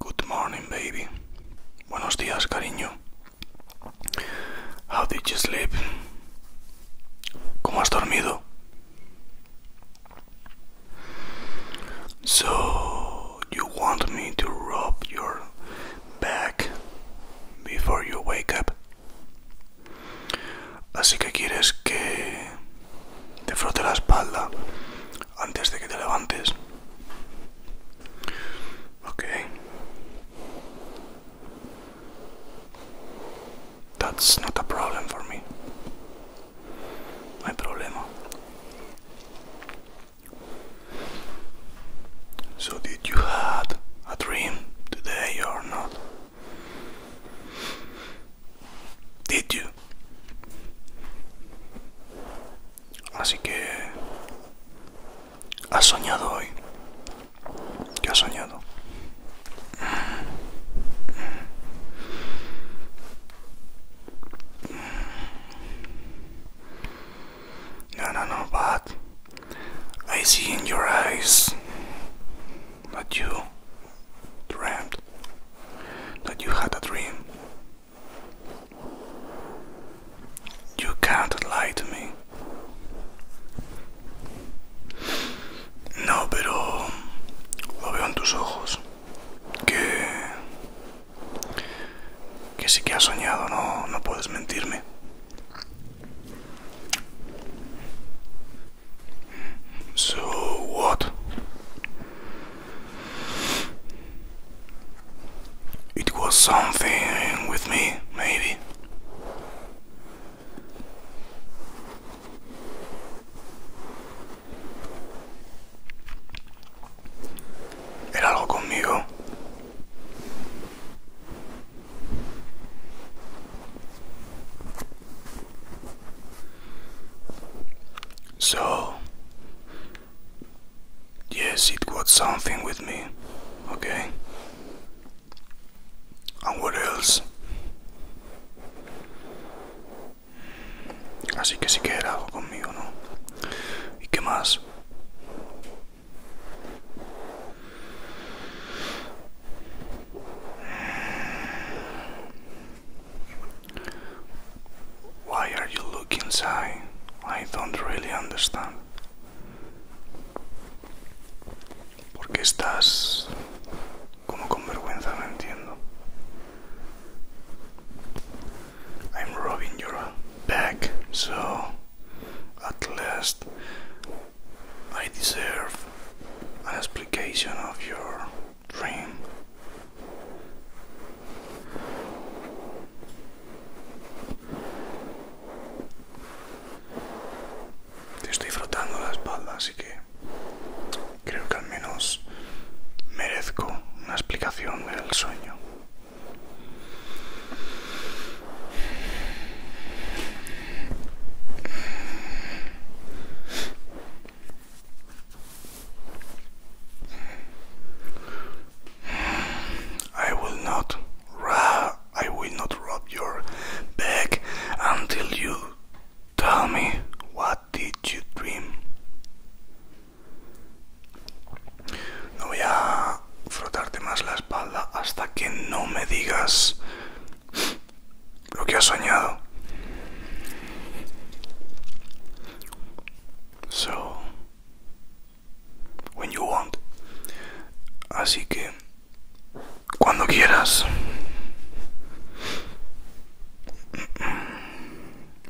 Good morning, baby. Buenos días, cariño. How did you sleep? ¿Cómo has dormido? So, you want me to rub your back before you wake up? Así que quieres que te frote la espalda antes de que te levantes. Okay. That's not a problem for me. No hay So did you had a dream today or not? Did you? Así que has soñado hoy. ¿Qué has soñado? No, no, no, but I see in your eyes that you dreamt, that you had a dream. You can't lie to me. No, pero lo veo en tus ojos. Que... Que sí que has soñado, no, no puedes mentirme. So what? It was something with me, maybe. Era algo conmigo. So, yes, it got something with me, okay? And what else? Así que si quieres algo conmigo, ¿no? ¿Y qué más? Why are you looking inside? I don't really understand. ¿Por qué estás como con I'm rubbing your back, so at least I deserve an explication of your dream. Te estoy frotando la espalda, así que creo que al menos merezco una explicación del sueño. I will not I will not rub your back until you tell me what did you dream. No voy a frotarte más la espalda hasta que no me digas lo que has soñado. So, when you want. Así que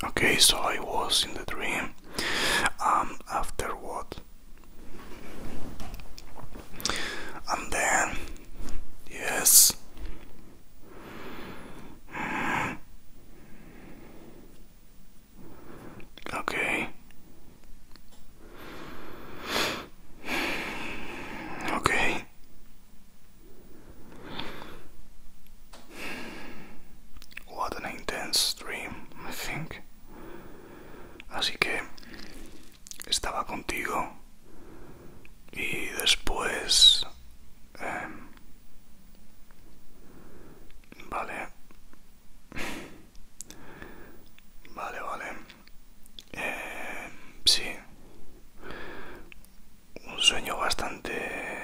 Okay, so I was in the dream. Um, after what? And then, yes. Mm. Okay. Ok. What an intense dream, I think. Así que estaba contigo y después... Em, vale. Vale, vale. Eh, sí. Un sueño bastante...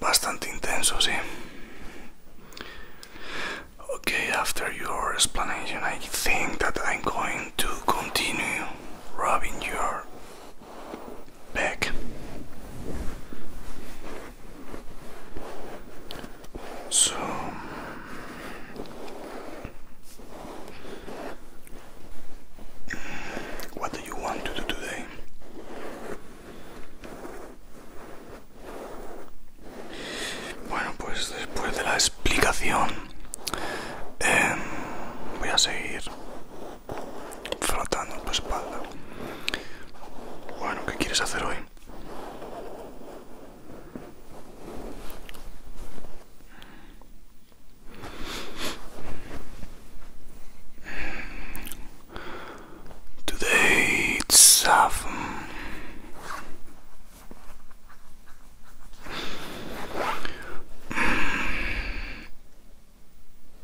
Bastante intenso, sí. Okay, after your explanation, I think that I'm going to continue rubbing your back. So what do you want Bueno, pues después de la explicación em, voy a seguir frotando tu espalda. Bueno, ¿qué quieres hacer hoy?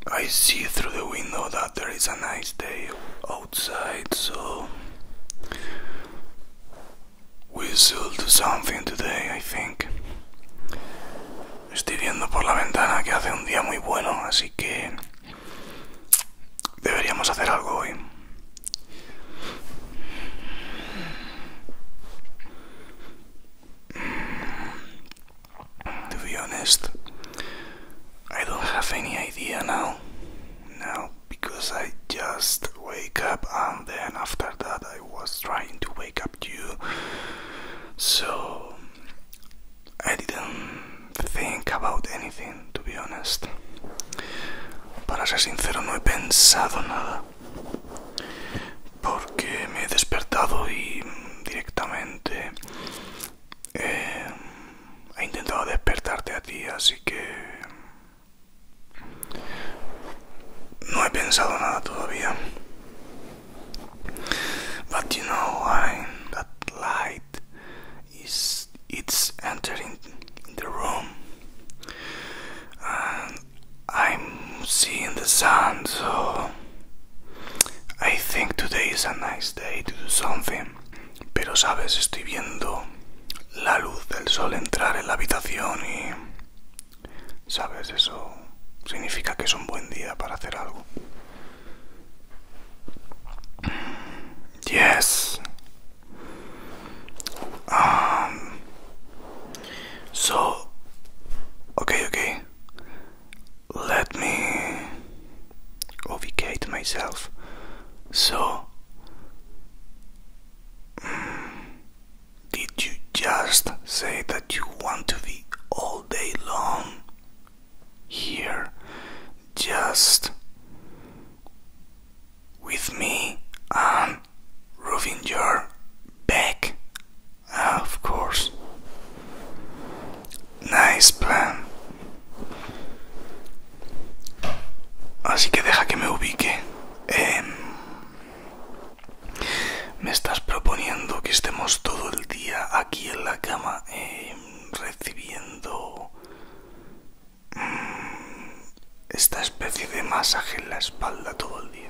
I see through the window that there is a nice day outside, so we will do something today, I think. Estoy viendo por la ventana que hace un día muy bueno, así que deberíamos hacer algo hoy. To be honest, I don't have any idea now. Now, because I just wake up and then after that I was trying to wake up you. So, I didn't think about anything, to be honest. Para ser sincero, no he pensado nada. Porque me he despertado y directamente I've tried to wake you up, so I que no he pensado nada todavía. But you know, I, that light is it's entering the room, and I'm seeing the sun, so I think today is a nice day to do something. Pero sabes, estoy viendo la luz del sol entrar en la habitación y... Sabes, eso significa que es un buen día para hacer algo. Yes. Um, so, okay, okay. let me obfuscate myself. So, mm, did you just say that you want to be all day long here, just with me and rubbing your back Ah, of course. Nice plan. Así que deja que me ubique. me estás proponiendo que estemos todo el día aquí en la cama em, recibiendo mm, esta especie de masaje en la espalda todo el día.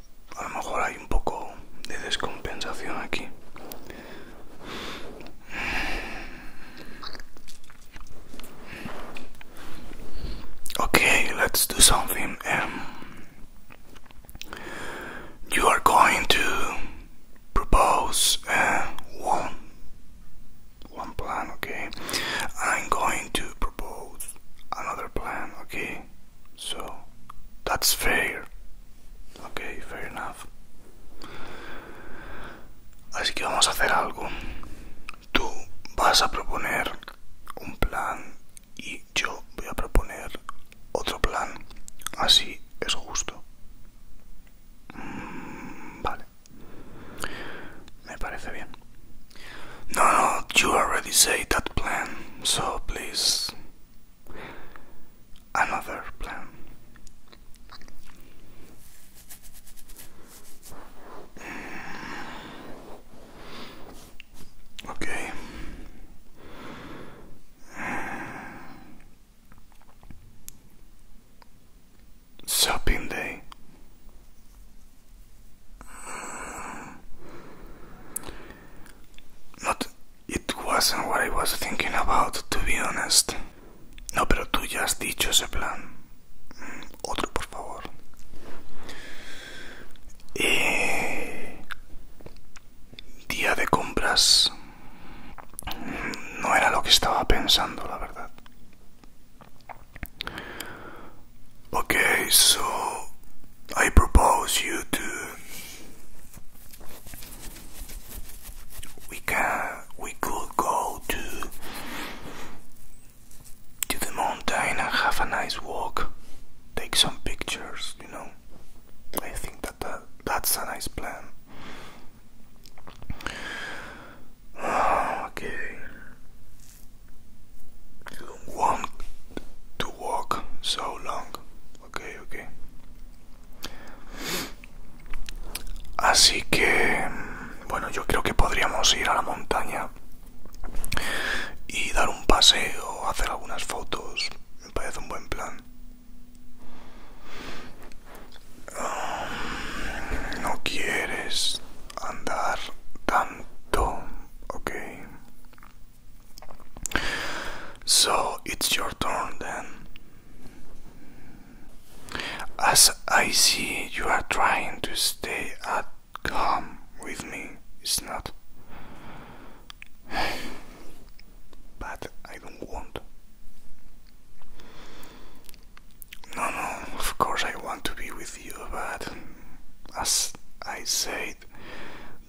Okay, let's do something. Um, you are going to propose uh, one one plan, okay? I'm going to both another plan, okay? So that's fair. Okay, fair enough. Así que vamos a hacer algo. Tú vas a proponer un plan y yo voy a proponer otro plan. Así es justo. Mm, vale. Me parece bien. No, no, you already say that plan, so please. Another plan. Mm. Okay. Mm. Shopping day. No, it wasn't what I was thinking about, to be honest. No, pero tú ya has dicho ese plan. Mm, otro, por favor. Eh, día de compras. Mm, no era lo que estaba pensando, la verdad. Okay, so I propose you to we can we could go to to the mountain and have a nice walk, take some pictures, you know. I think that, that that's a nice plan. okay. to walk so long. Okay, okay. Así que, bueno, yo creo que podríamos ir a la montaña y dar un paseo, hacer algunas fotos. Me parece un buen plan. Um, no quieres andar tanto. Okay. So it's your turn then. As I see, you are trying to stay at home with me, it's not. but I don't want. No, no, of course I want to be with you, but as I said,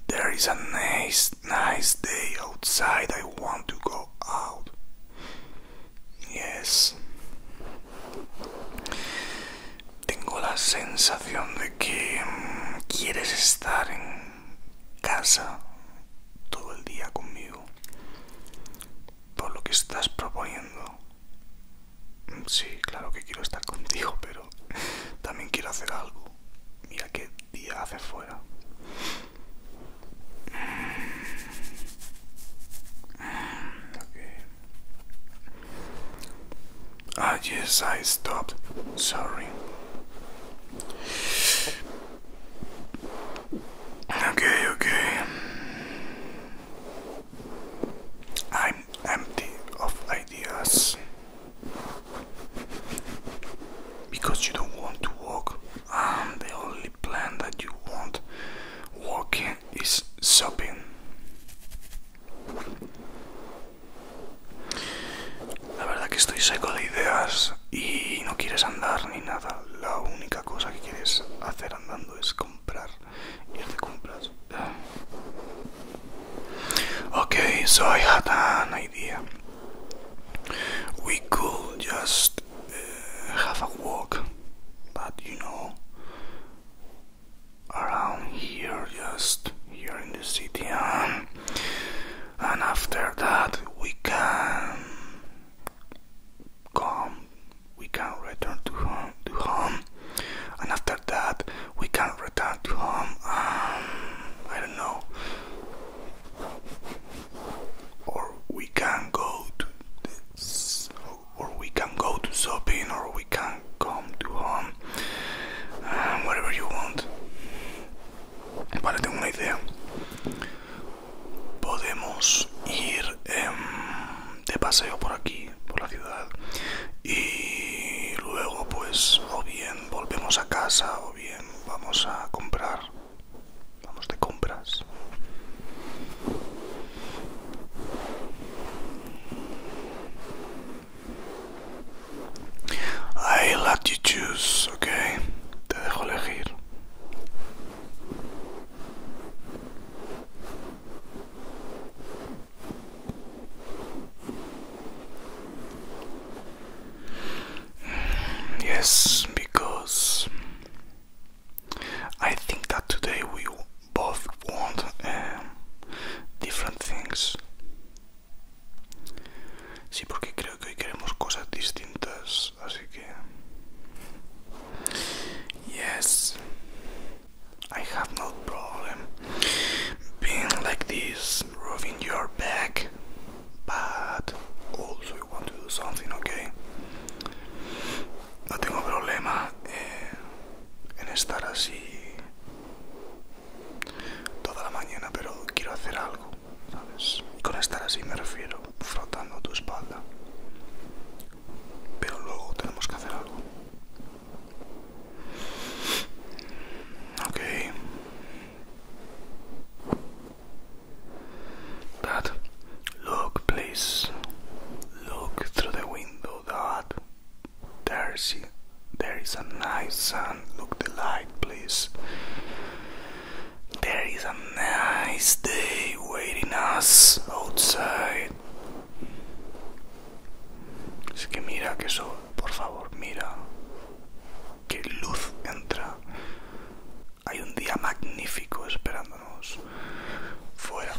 there is a nice, nice day outside. I want to go out. Yes. Tengo la sensación de que quieres estar en casa todo el día conmigo. Por lo que estás proponiendo. Sí, claro que quiero estar contigo, pero también quiero hacer algo. Mira qué día hace fuera. Okay. Ah, yes, I stopped. Sorry. Okay, okay. I'm empty of ideas because you don't want to walk, and the only plan that you want walking is shopping. La verdad que estoy seco de ideas y no quieres andar ni nada. La única cosa que quieres hacer andando es comprar. Ah. Okay, so I had an idea. We could just uh, have a walk, but you know, around here, just here in the city, and, um, and after that we can come we can return to home to home and after that we can return to home um, I don't know or we can go to or we can go to shopping or we can come to home um, whatever you want para tengo una idea podemos ir em, de paseo por aquí, por la ciudad, y luego pues o bien volvemos a casa o bien vamos a comprar, vamos de compras. I let you choose, okay? Te dejo elegir. Yes, because I think that today we both want um, different things. Sí, porque creo que hoy queremos cosas distintas. así que. Yes, I have no problem being like this, rubbing your back, but also you want to do something, okay? No tengo problema eh, en estar así toda la mañana, pero quiero hacer algo, ¿sabes? con estar así me refiero pero frotando tu espalda. Pero luego tenemos que hacer algo. Ok. Dad, look, please. Look through the window, Dad. There's, there is a nice sun. Look the light, please. There is a nice day waiting us outside. Es que mira que eso, por favor, mira. Qué luz entra. Hay un día magnífico esperándonos fuera.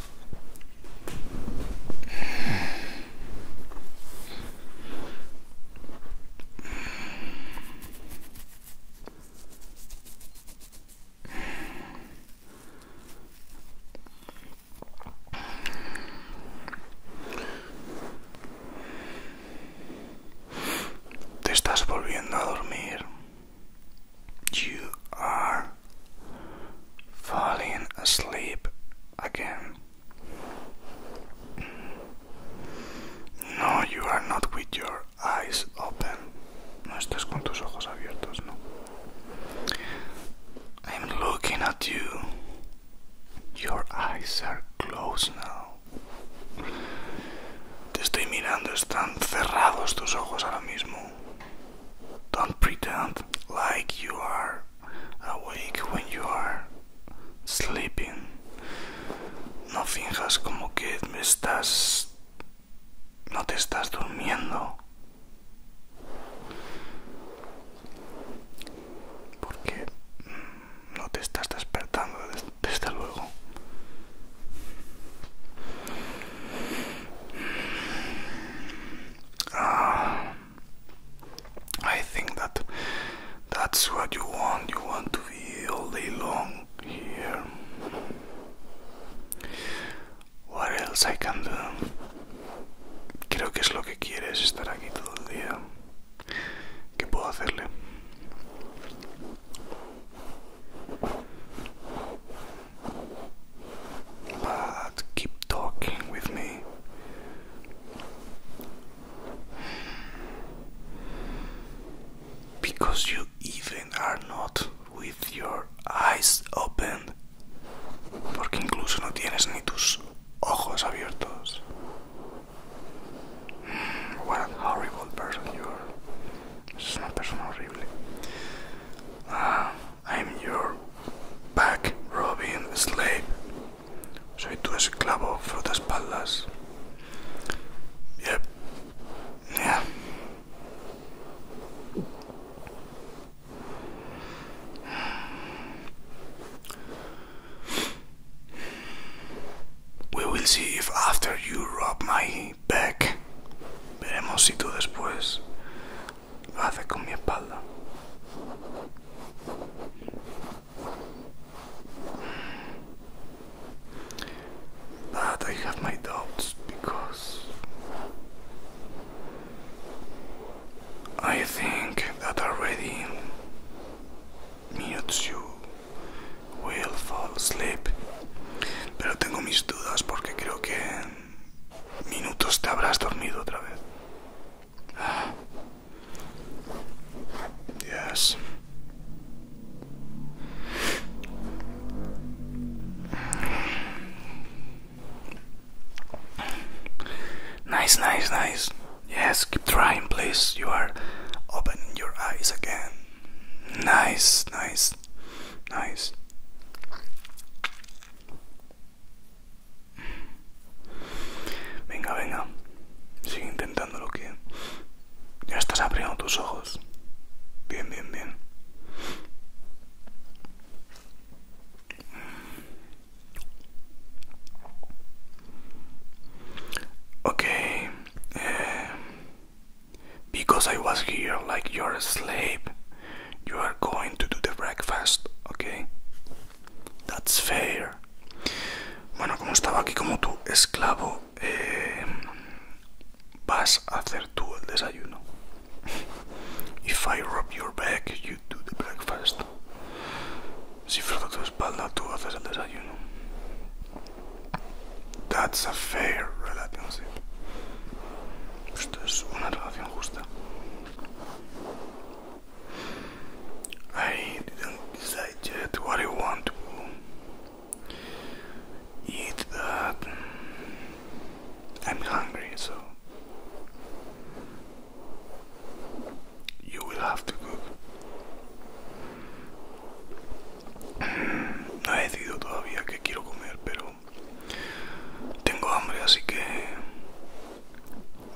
You are falling asleep again. No, you are not with your eyes open. No estás con tus ojos abiertos, no. I'm looking at you. Your eyes are closed now. Te estoy mirando, están cerrados tus ojos ahora mismo. Don't pretend like you are awake when you are sleeping. No finjas como que me estás no te estás durmiendo. Porque no te estás despertando, desde luego. Ah, I think that that's what you want. You want to be all day long here. What Creo que es lo que quieres estar aquí todo el día. ¿Qué puedo hacerle? But keep talking with me. Because you even are not with your eyes open. Porque incluso no tienes ni tus ojos abiertos. Hmm, what horrible person you are. Es una persona horrible. Uh, I'm your back robbing slave. Soy tu esclavo, espaldas Yep, yeah. We will see if after you rub my back, veremos si tú después haces con mi espalda. But I have my doubts because I think that already Mewtwo will fall asleep. Pero tengo mis dudas porque creo que en minutos te habrás dormido otra vez. Ah. Yes. Nice, nice, nice. Yes, keep trying, please. You are opening your eyes again. Nice, nice, nice. Venga, venga. Sigue intentándolo que Ya estás abriendo tus ojos. Bien, bien, bien. Okay. Eh, because I was here like you're a slave, you are going to do the breakfast, okay? That's fair. Bueno, como estaba aquí como tu esclavo, bueno, eh, vas a hacer tú el desayuno. If I rub your back, you do the breakfast. Si froto tu espalda, tú haces el desayuno. That's a fair relationship. Esto es una relación justa. I do not decide yet what I want to eat I'm hungry, so you will have to cook. No he decidido todavía qué quiero comer, pero tengo hambre, así que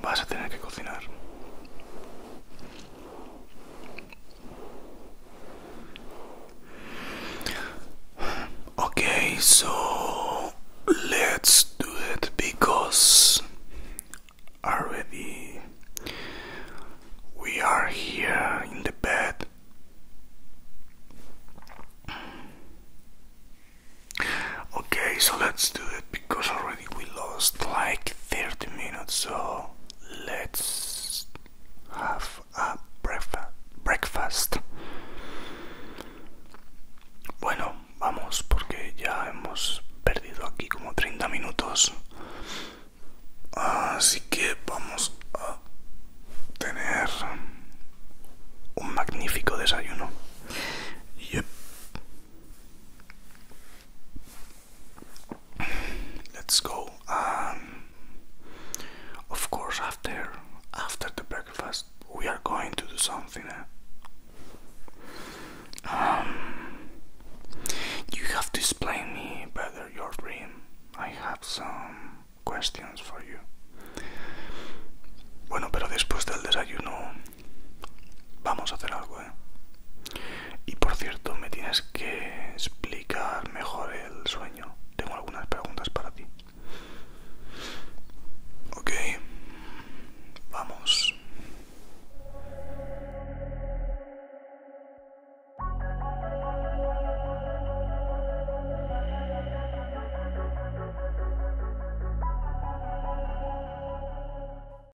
vas a tener que cocinar. Okay, so let's do it because already we are here in the bed. Okay, so let's do it because already. we lost like 30 minutes, so let's have a breakfast. Bueno, vamos, porque ya hemos perdido aquí como 30 minutos. Así que vamos a tener un magnífico desayuno. Yep. Let's go. Um, of course, after after the breakfast, we are going to do something. Eh? Um, you have to explain me better your dream. I have some questions for you. Bueno, pero después del desayuno vamos a hacer algo. Y por cierto, me tienes que explicar mejor el sueño. Tengo algunas preguntas para ti. Ok, vamos.